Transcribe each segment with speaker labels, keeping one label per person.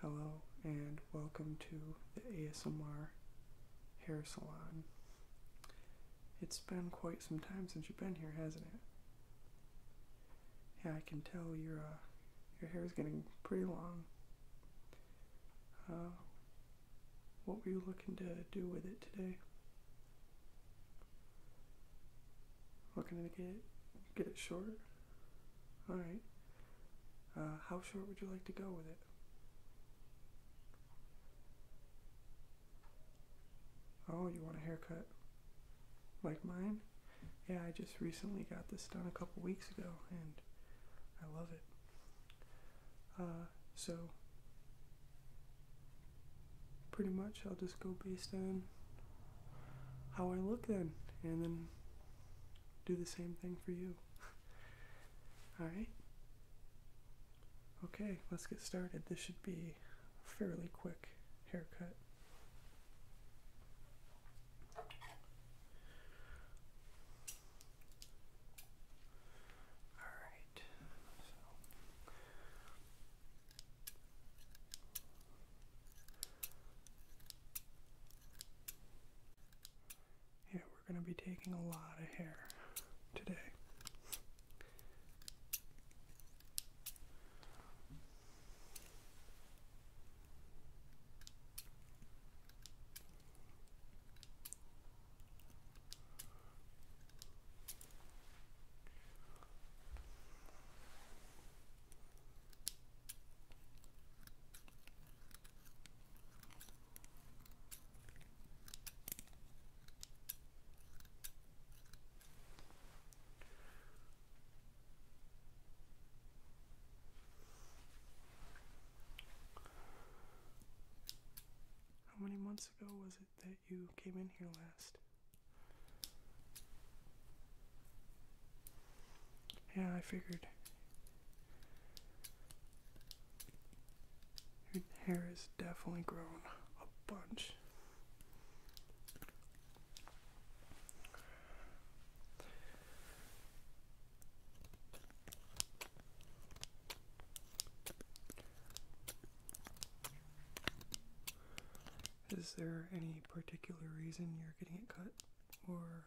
Speaker 1: Hello and welcome to the ASMR Hair Salon. It's been quite some time since you've been here, hasn't it? Yeah, I can tell your uh, your hair is getting pretty long. Uh, what were you looking to do with it today? Looking to get it, get it short? All right. Uh, how short would you like to go with it? Oh, you want a haircut? Like mine? Yeah, I just recently got this done a couple weeks ago, and I love it. Uh, so, pretty much I'll just go based on how I look then, and then do the same thing for you. Alright? Okay, let's get started. This should be a fairly quick haircut. Alright, yeah, we're going to be taking a lot of hair today. How many months ago was it that you came in here last? Yeah, I figured. Her hair is definitely grown a bunch. Is there any particular reason you're getting it cut? or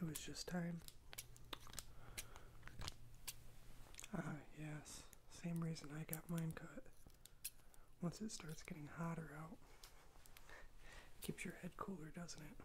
Speaker 1: it was just time. Ah, yes, same reason I got mine cut. Once it starts getting hotter out, keeps your head cooler, doesn't it?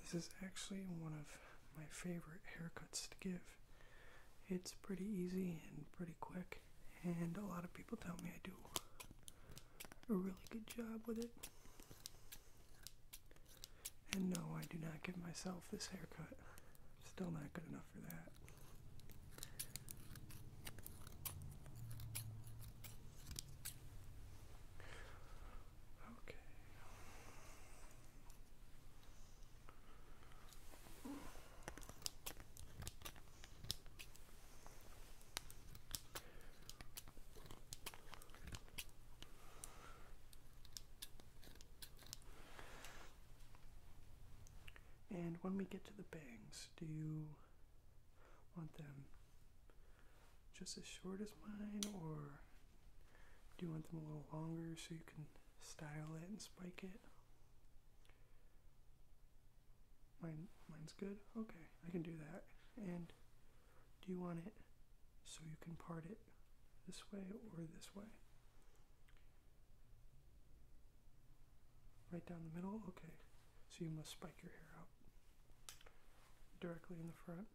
Speaker 1: This is actually one of my favorite haircuts to give. It's pretty easy and pretty quick, and a lot of people tell me I do a really good job with it. And no, I do not give myself this haircut. Still not good enough for that. Okay. And when we get to the bangs, do you want them just as short as mine, or do you want them a little longer so you can style it and spike it? Mine, mine's good. Okay, I can do that. And do you want it so you can part it this way or this way? Right down the middle? Okay. So you must spike your hair directly in the front.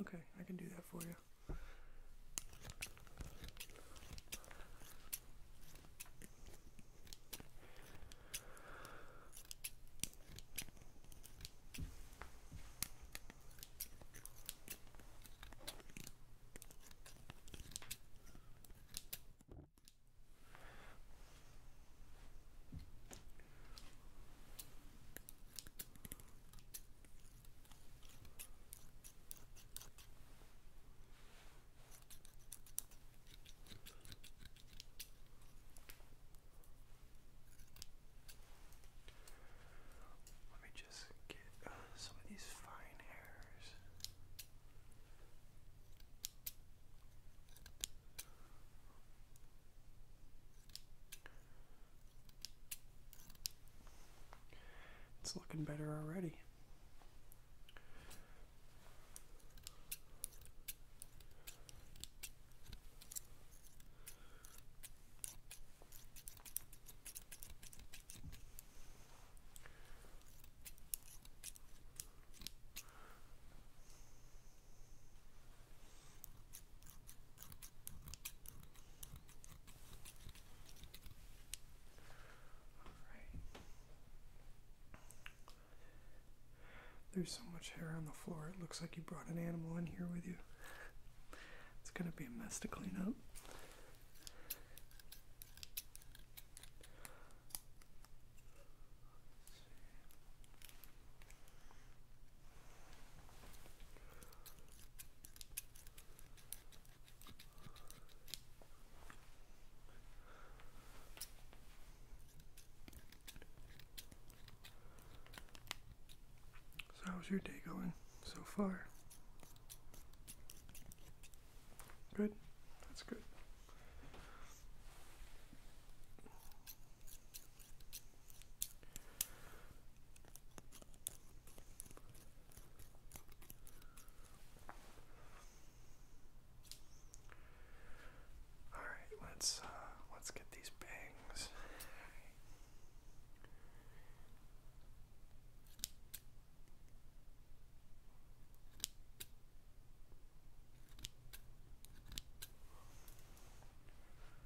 Speaker 1: Okay, I can do that for you. Let me just get uh, some of these fine hairs. It's looking better already. There's so much hair on the floor, it looks like you brought an animal in here with you. It's gonna be a mess to clean up. So, how's your day going so far? Good? That's good. All right, let's uh, let's get these bangs.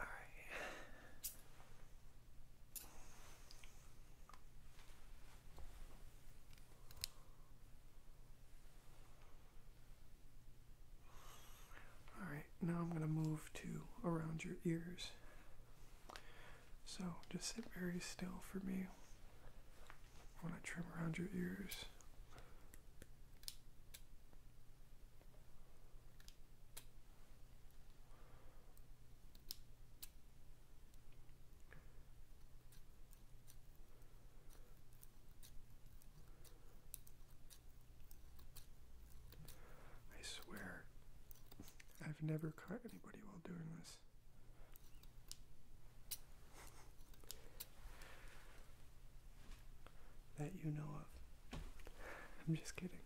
Speaker 1: All right. All right, now I'm going to move to around your ears. So just sit very still for me when I trim around your ears. I swear, I've never caught anybody while doing this that you know of. I'm just kidding.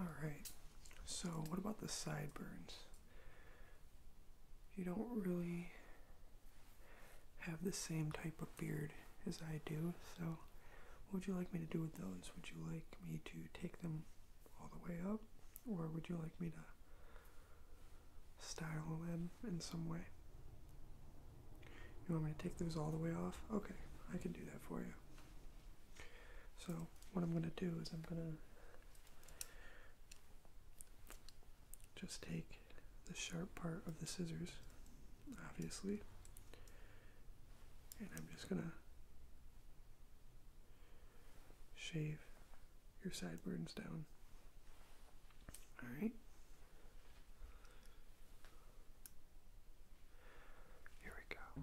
Speaker 1: All right. So, what about the sideburns? You don't really have the same type of beard as I do, so what would you like me to do with those? Would you like me to take them all the way up, or would you like me to style them in some way? You want me to take those all the way off? Okay, I can do that for you. So, what I'm going to do is I'm going to just take the sharp part of the scissors, obviously, and I'm just going to shave your sideburns down. Alright? Here we go.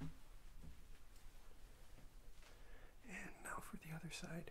Speaker 1: And now for the other side.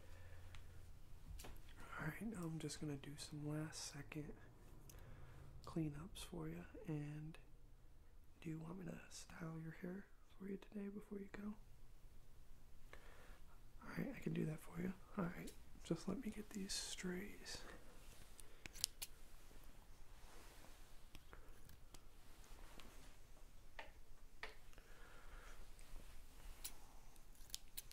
Speaker 1: Alright, now I'm just going to do some last second cleanups for you. And do you want me to style your hair for you today before you go? Alright, I can do that for you. Alright, just let me get these strays.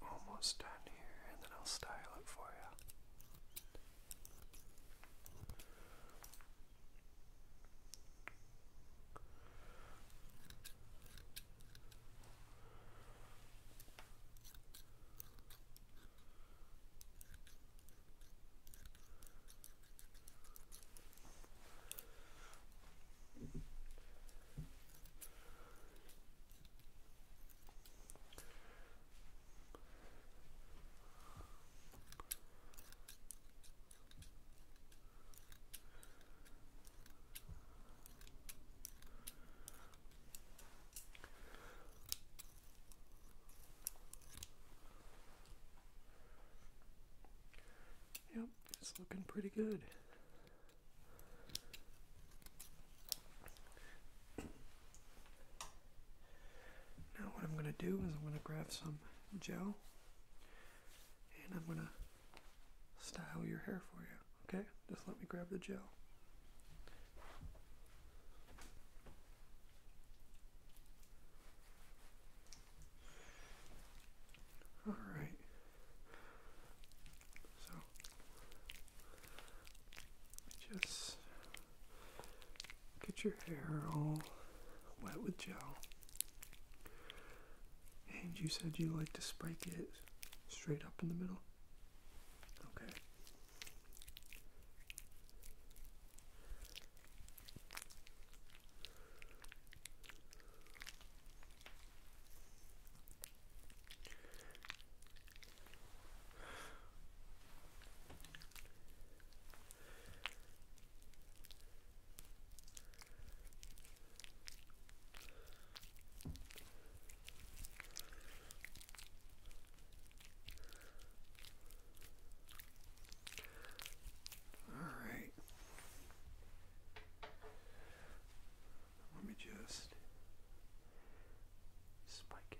Speaker 1: We're almost done here, and then I'll style it for you. Yep, it's looking pretty good. Now what I'm going to do is I'm going to grab some gel and I'm going to style your hair for you. Okay? Just let me grab the gel. All right. So just get your hair all wet with gel. And you said you like to spike it straight up in the middle? Okay. All right. Let me just Spike it.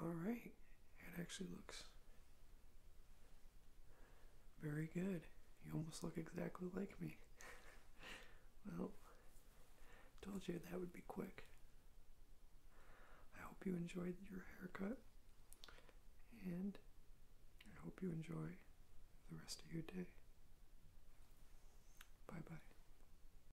Speaker 1: All right, it actually looks very good. You almost look exactly like me. well, told you that would be quick. I hope you enjoyed your haircut, and I hope you enjoy the rest of your day. Bye bye.